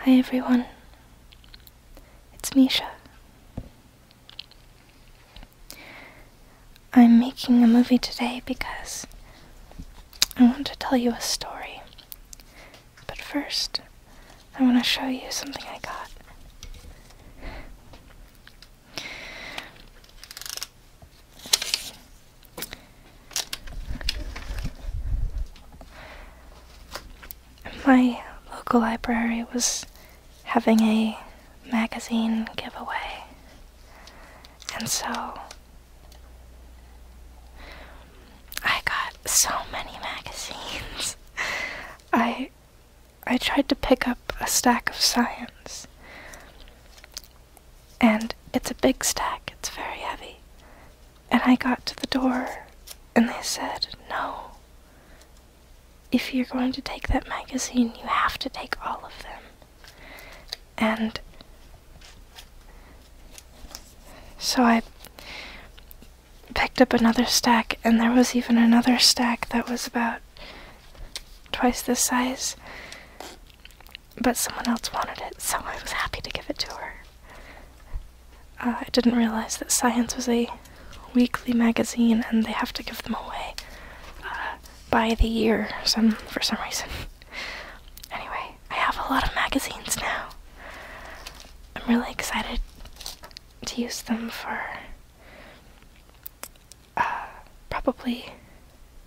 Hi everyone, it's Misha. I'm making a movie today because I want to tell you a story. But first, I want to show you something I got. My local library was having a magazine giveaway, and so I got so many magazines. I I tried to pick up a stack of science and it's a big stack, it's very heavy. And I got to the door, and they said, No. If you're going to take that magazine, you have to take all of them. And so I picked up another stack, and there was even another stack that was about twice this size. But someone else wanted it, so I was happy to give it to her. Uh, I didn't realize that Science was a weekly magazine and they have to give them away uh, by the year some for some reason. Anyway, I have a lot of magazines now. I'm really excited to use them for uh, probably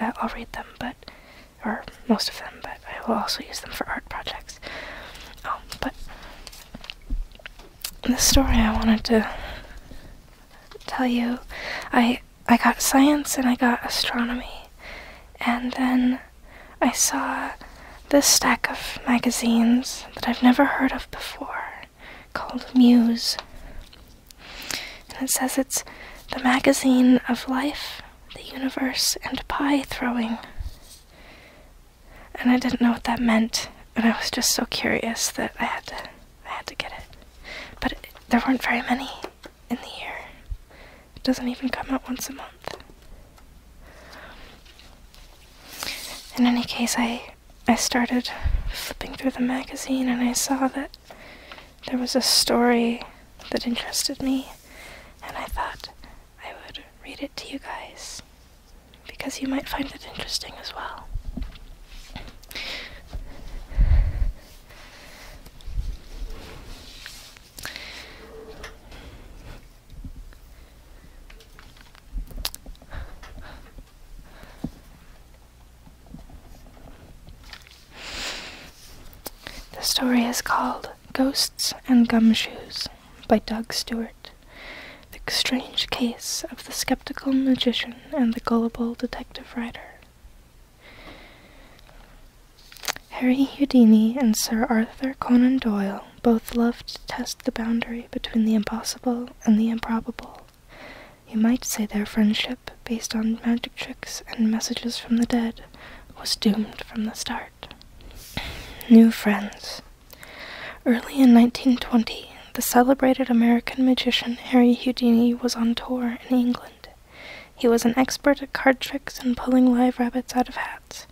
I'll read them, but or most of them, but I will also use them for art projects. Um, but the story I wanted to tell you, I I got science and I got astronomy, and then I saw this stack of magazines that I've never heard of before, called Muse, and it says it's the magazine of life the universe and pie throwing. And I didn't know what that meant, and I was just so curious that I had to I had to get it. But there weren't very many in the year. It doesn't even come out once a month. In any case, I I started flipping through the magazine and I saw that there was a story that interested me, and I thought I would read it to you guys because you might find it interesting as well. The story is called Ghosts and Gumshoes by Doug Stewart. The Strange Case of the Skeptical Magician and the Gullible Detective Writer. Harry Houdini and Sir Arthur Conan Doyle both loved to test the boundary between the impossible and the improbable. You might say their friendship based on magic tricks and messages from the dead was doomed from the start. New friends. Early in 1920, the celebrated American magician Harry Houdini was on tour in England. He was an expert at card tricks and pulling live rabbits out of hats,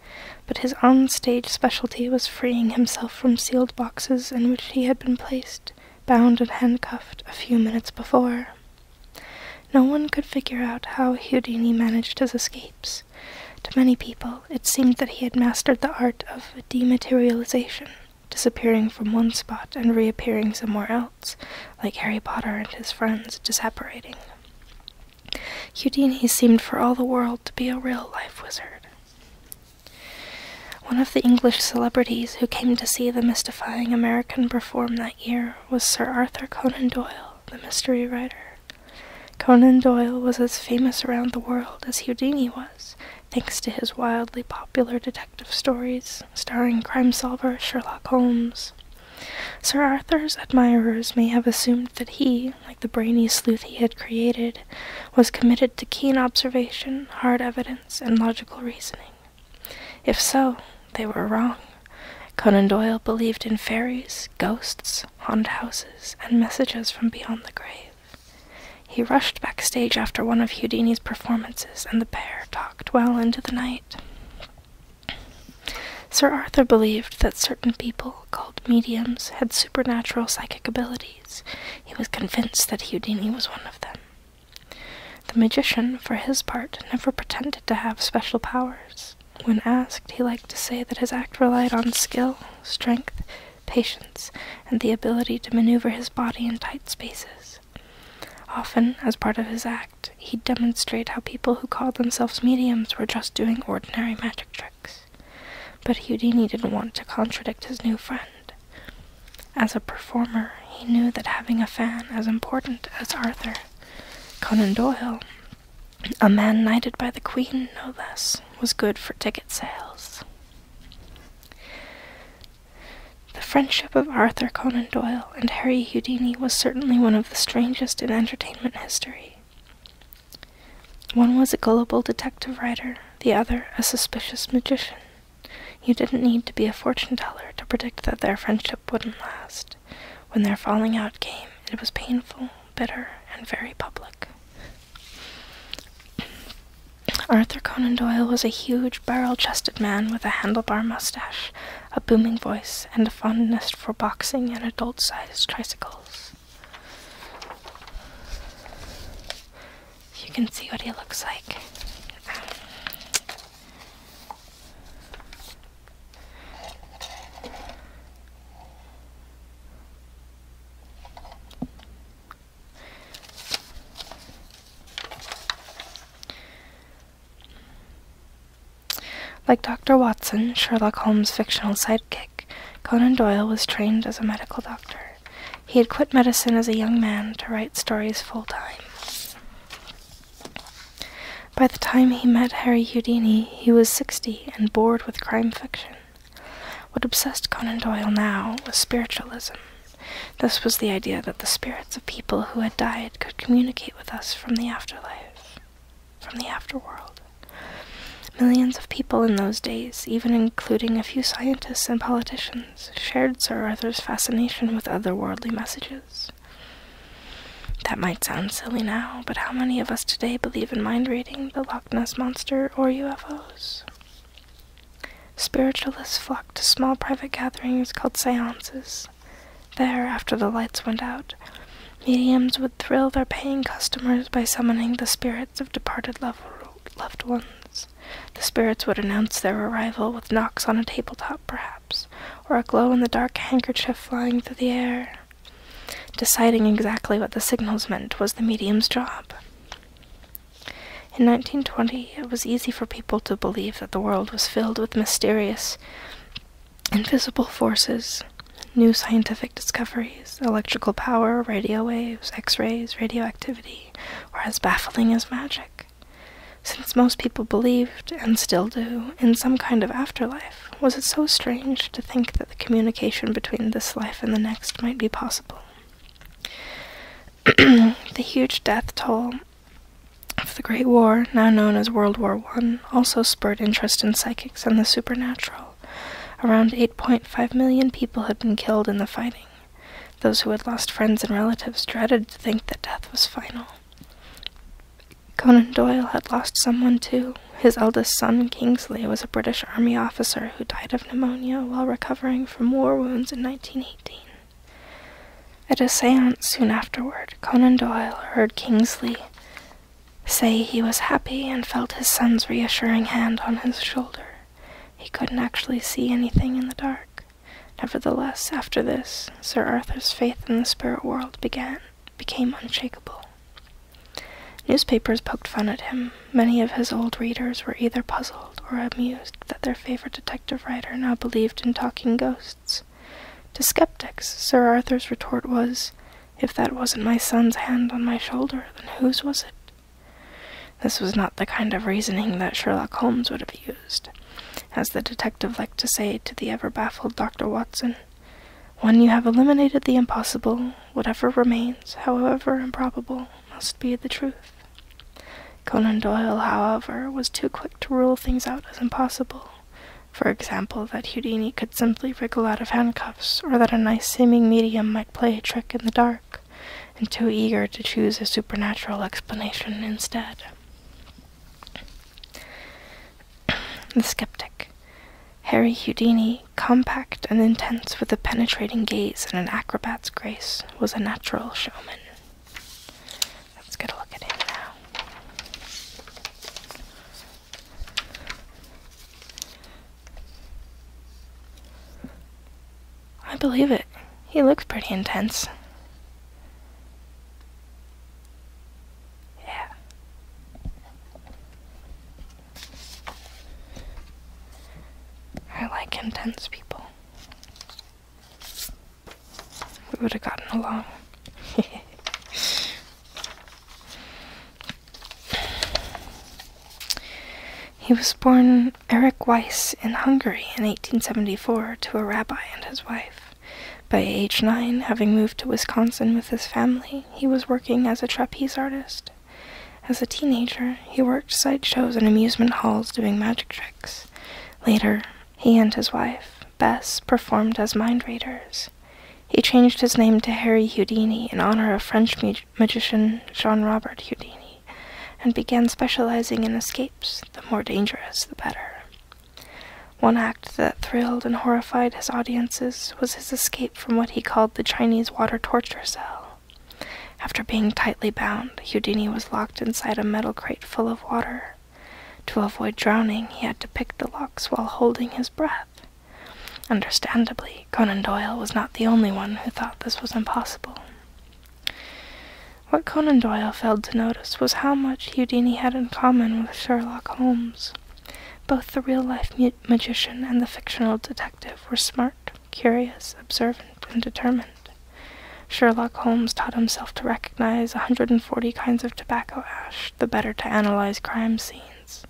but his on-stage specialty was freeing himself from sealed boxes in which he had been placed, bound and handcuffed, a few minutes before. No one could figure out how Houdini managed his escapes. To many people, it seemed that he had mastered the art of dematerialization, disappearing from one spot and reappearing somewhere else, like Harry Potter and his friends disapparating. Houdini seemed for all the world to be a real life wizard. One of the English celebrities who came to see the mystifying American perform that year was Sir Arthur Conan Doyle, the mystery writer. Conan Doyle was as famous around the world as Houdini was, thanks to his wildly popular detective stories starring crime solver Sherlock Holmes. Sir Arthur's admirers may have assumed that he, like the brainy sleuth he had created, was committed to keen observation, hard evidence, and logical reasoning. If so, they were wrong. Conan Doyle believed in fairies, ghosts, haunted houses, and messages from beyond the grave. He rushed backstage after one of Houdini's performances, and the pair talked well into the night. Sir Arthur believed that certain people, called mediums, had supernatural psychic abilities. He was convinced that Houdini was one of them. The magician, for his part, never pretended to have special powers. When asked, he liked to say that his act relied on skill, strength, patience, and the ability to maneuver his body in tight spaces. Often, as part of his act, he'd demonstrate how people who called themselves mediums were just doing ordinary magic tricks. But Houdini didn't want to contradict his new friend. As a performer, he knew that having a fan as important as Arthur, Conan Doyle, a man knighted by the Queen no less, was good for ticket sales. The friendship of Arthur Conan Doyle and Harry Houdini was certainly one of the strangest in entertainment history. One was a gullible detective writer, the other a suspicious magician. You didn't need to be a fortune teller to predict that their friendship wouldn't last. When their falling out came, it was painful, bitter, and very public. Arthur Conan Doyle was a huge, barrel chested man with a handlebar mustache, a booming voice, and a fondness for boxing and adult sized tricycles. You can see what he looks like. Like Dr. Watson, Sherlock Holmes' fictional sidekick, Conan Doyle was trained as a medical doctor. He had quit medicine as a young man to write stories full time. By the time he met Harry Houdini, he was 60 and bored with crime fiction. What obsessed Conan Doyle now was spiritualism. This was the idea that the spirits of people who had died could communicate with us from the afterlife, from the afterworld. Millions of people in those days, even including a few scientists and politicians, shared Sir Arthur's fascination with otherworldly messages. That might sound silly now, but how many of us today believe in mind reading, the Loch Ness Monster, or UFOs? Spiritualists flock to small private gatherings called seances. There, after the lights went out, mediums would thrill their paying customers by summoning the spirits of departed loved ones. The spirits would announce their arrival with knocks on a tabletop, perhaps, or a glow in the dark handkerchief flying through the air. Deciding exactly what the signals meant was the medium's job. In 1920, it was easy for people to believe that the world was filled with mysterious, invisible forces. New scientific discoveries, electrical power, radio waves, x rays, radioactivity, were as baffling as magic. Since most people believed, and still do, in some kind of afterlife, was it so strange to think that the communication between this life and the next might be possible? the huge death toll of the Great War, now known as World War One, also spurred interest in psychics and the supernatural. Around 8.5 million people had been killed in the fighting. Those who had lost friends and relatives dreaded to think that death was final. Conan Doyle had lost someone too. His eldest son, Kingsley, was a British Army officer who died of pneumonia while recovering from war wounds in 1918. At a seance soon afterward, Conan Doyle heard Kingsley say he was happy and felt his son's reassuring hand on his shoulder. He couldn't actually see anything in the dark. Nevertheless, after this, Sir Arthur's faith in the spirit world began became unshakable. Newspapers poked fun at him. Many of his old readers were either puzzled or amused that their favorite detective writer now believed in talking ghosts. To skeptics, Sir Arthur's retort was, If that wasn't my son's hand on my shoulder, then whose was it? This was not the kind of reasoning that Sherlock Holmes would have used. As the detective liked to say to the ever baffled Dr. Watson, when you have eliminated the impossible, whatever remains, however improbable, must be the truth. Conan Doyle, however, was too quick to rule things out as impossible. For example, that Houdini could simply wriggle out of handcuffs, or that a nice seeming medium might play a trick in the dark, and too eager to choose a supernatural explanation instead. The Skeptic. Harry Houdini, compact and intense with a penetrating gaze and an acrobat's grace, was a natural showman. Let's get a look at him now. I believe it. He looks pretty intense. Yeah. I like intense people. We would have gotten along. He was born Eric Weiss in Hungary in 1874 to a rabbi and his wife. By age nine, having moved to Wisconsin with his family, he was working as a trapeze artist. As a teenager, he worked sideshows and amusement halls doing magic tricks. Later, he and his wife, Bess, performed as mind readers. He changed his name to Harry Houdini in honor of French magician Jean Robert Houdini and began specializing in escapes, the more dangerous the better. One act that thrilled and horrified his audiences was his escape from what he called the Chinese water torture cell. After being tightly bound, Houdini was locked inside a metal crate full of water. To avoid drowning, he had to pick the locks while holding his breath. Understandably, Conan Doyle was not the only one who thought this was impossible. What Conan Doyle failed to notice was how much Houdini had in common with Sherlock Holmes. Both the real life magician and the fictional detective were smart, curious, observant, and determined. Sherlock Holmes taught himself to recognize a 140 kinds of tobacco ash, the better to analyze crime scenes.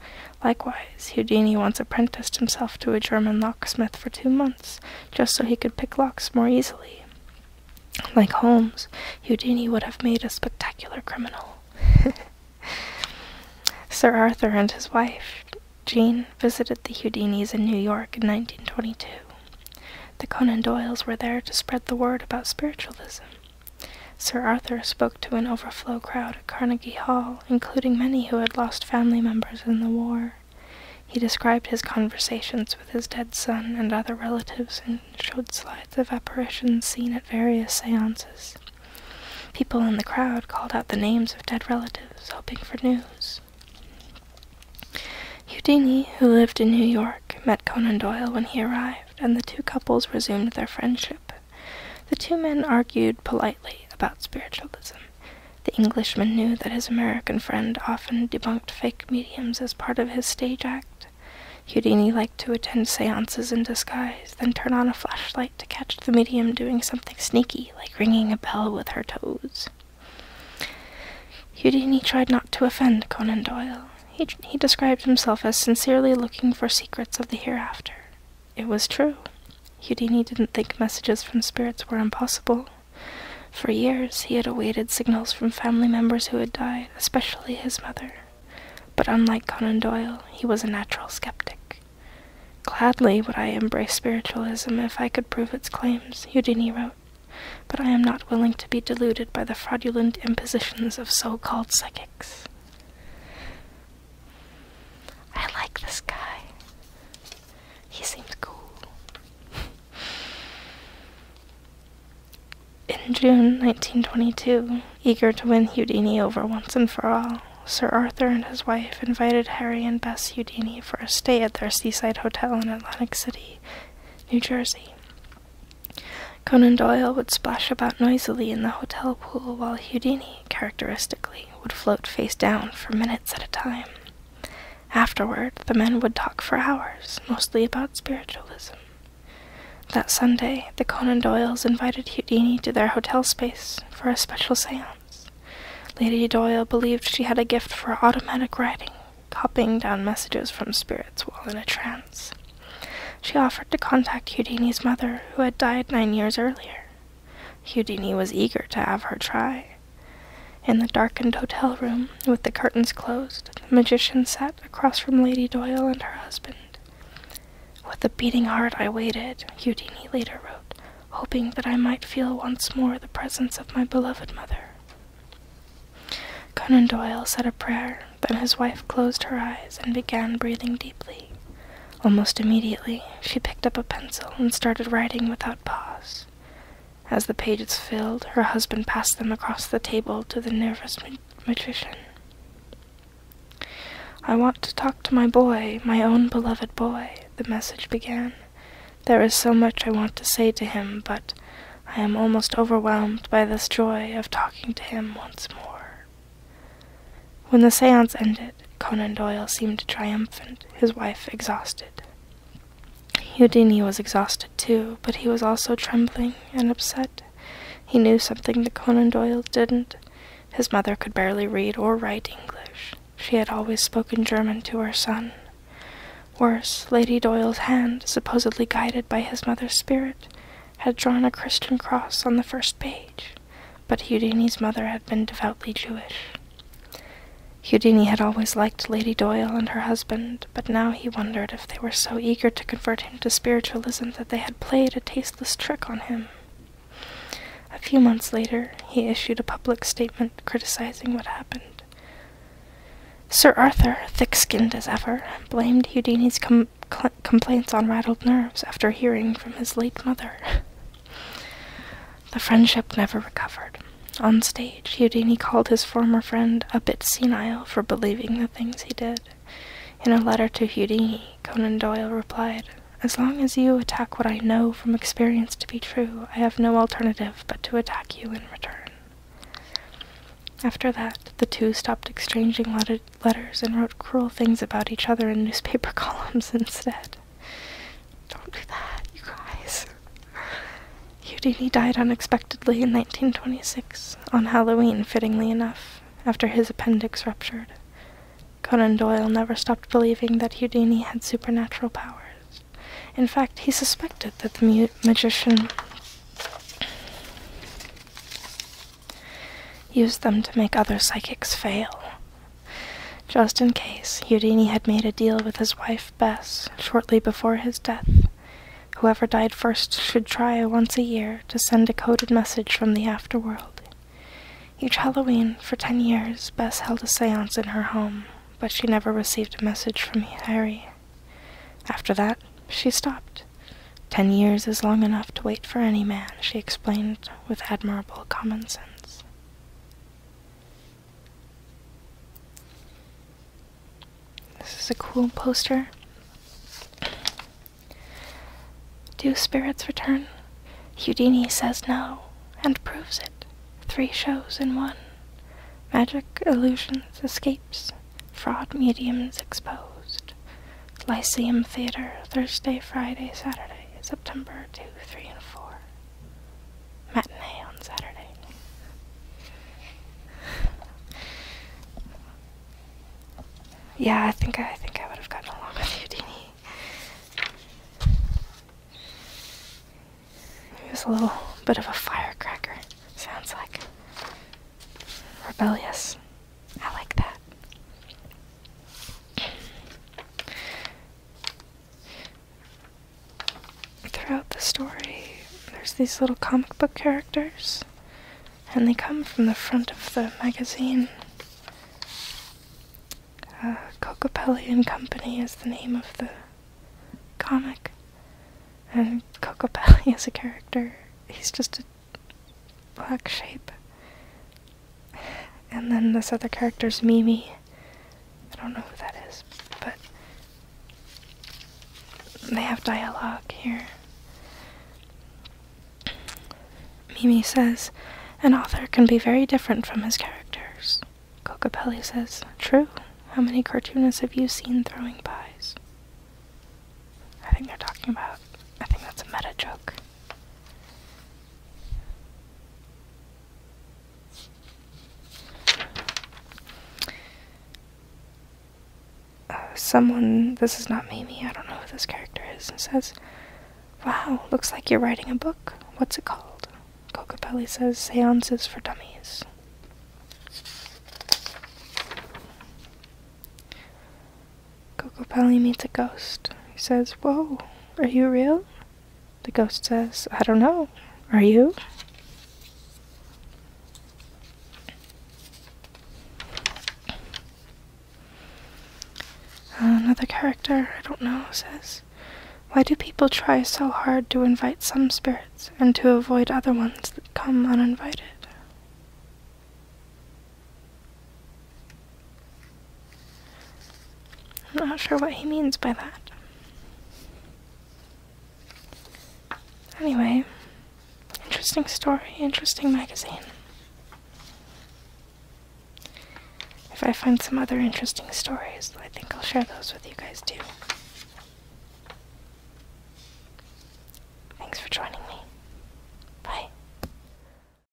Likewise, Houdini once apprenticed himself to a German locksmith for two months just so he could pick locks more easily. Like Holmes, Houdini would have made a spectacular criminal. Sir Arthur and his wife, Jean, visited the Houdinis in New York in 1922. The Conan Doyles were there to spread the word about spiritualism. Sir Arthur spoke to an overflow crowd at Carnegie Hall, including many who had lost family members in the war. He described his conversations with his dead son and other relatives and showed slides of apparitions seen at various seances. People in the crowd called out the names of dead relatives, hoping for news. Houdini, who lived in New York, met Conan Doyle when he arrived, and the two couples resumed their friendship. The two men argued politely about spiritualism. The Englishman knew that his American friend often debunked fake mediums as part of his stage act. Houdini liked to attend seances in disguise, then turn on a flashlight to catch the medium doing something sneaky, like ringing a bell with her toes. Houdini tried not to offend Conan Doyle. He, he described himself as sincerely looking for secrets of the hereafter. It was true. Houdini didn't think messages from spirits were impossible. For years he had awaited signals from family members who had died, especially his mother. But unlike Conan Doyle, he was a natural skeptic. Gladly would I embrace spiritualism if I could prove its claims, Houdini wrote, but I am not willing to be deluded by the fraudulent impositions of so called psychics. I like this guy. He seemed cool. In June 1922, eager to win Houdini over once and for all, Sir Arthur and his wife invited Harry and Bess Houdini for a stay at their seaside hotel in Atlantic City, New Jersey. Conan Doyle would splash about noisily in the hotel pool while Houdini, characteristically, would float face down for minutes at a time. Afterward, the men would talk for hours, mostly about spiritualism. That Sunday, the Conan Doyles invited Houdini to their hotel space for a special seance. Lady Doyle believed she had a gift for automatic writing, copying down messages from spirits while in a trance. She offered to contact Houdini's mother, who had died nine years earlier. Houdini was eager to have her try. In the darkened hotel room, with the curtains closed, the magician sat across from Lady Doyle and her husband. With a beating heart I waited, Houdini later wrote, hoping that I might feel once more the presence of my beloved mother. Conan Doyle said a prayer, then his wife closed her eyes and began breathing deeply. Almost immediately, she picked up a pencil and started writing without pause. As the pages filled, her husband passed them across the table to the nervous matrician. I want to talk to my boy, my own beloved boy, the message began. There is so much I want to say to him, but I am almost overwhelmed by this joy of talking to him once more. When the seance ended, Conan Doyle seemed triumphant, his wife exhausted. Houdini was exhausted too, but he was also trembling and upset. He knew something that Conan Doyle didn't. His mother could barely read or write English. She had always spoken German to her son. Worse, Lady Doyle's hand, supposedly guided by his mother's spirit, had drawn a Christian cross on the first page, but Houdini's mother had been devoutly Jewish. Houdini had always liked Lady Doyle and her husband, but now he wondered if they were so eager to convert him to spiritualism that they had played a tasteless trick on him. A few months later, he issued a public statement criticizing what happened. Sir Arthur, thick skinned as ever, blamed Houdini's complaints on rattled nerves after hearing from his late mother. The friendship never recovered. On stage, Houdini called his former friend a bit senile for believing the things he did. In a letter to Houdini, Conan Doyle replied, As long as you attack what I know from experience to be true, I have no alternative but to attack you in return. After that, the two stopped exchanging letters and wrote cruel things about each other in newspaper columns instead. Don't do that, you guys. Houdini died unexpectedly in 1926, on Halloween, fittingly enough, after his appendix ruptured. Conan Doyle never stopped believing that Houdini had supernatural powers. In fact, he suspected that the magician used them to make other psychics fail, just in case Houdini had made a deal with his wife Bess shortly before his death. Whoever died first should try once a year to send a coded message from the afterworld. Each Halloween, for ten years, Bess held a seance in her home, but she never received a message from Harry. After that, she stopped. Ten years is long enough to wait for any man, she explained with admirable common sense. This is a cool poster. Do spirits return? Houdini says no and proves it. Three shows in one. Magic, illusions, escapes, fraud mediums exposed. Lyceum Theatre, Thursday, Friday, Saturday, September 2, 3, and 4 matinee on Saturday. yeah, I think I, think I would have gotten along with Houdini. He was a little bit of a firecracker, sounds like. Rebellious. I like that. Throughout the story, there's these little comic book characters, and they come from the front of the magazine. Uh, CocaPelli and Company is the name of the comic, and CocaPelli is a character. He's just a black shape and then this other character's Mimi. I don't know who that is, but they have dialogue here. Mimi says, an author can be very different from his characters. Cocopelli says, true. How many cartoonists have you seen throwing pies? I think they're talking about, I think that's a meta joke. Uh, someone, this is not Mimi, I don't know who this character is, and says, Wow, looks like you're writing a book. What's it called? Cocopelli says, Seances for Dummies. Coco Cocopelli meets a ghost. He says, Whoa, are you real? The ghost says, I don't know. Are you? Another character, I don't know, says, Why do people try so hard to invite some spirits and to avoid other ones that come uninvited? I'm not sure what he means by that. Anyway, interesting story, interesting magazine. If I find some other interesting stories, I think I'll share those with you guys too. Thanks for joining me. Bye.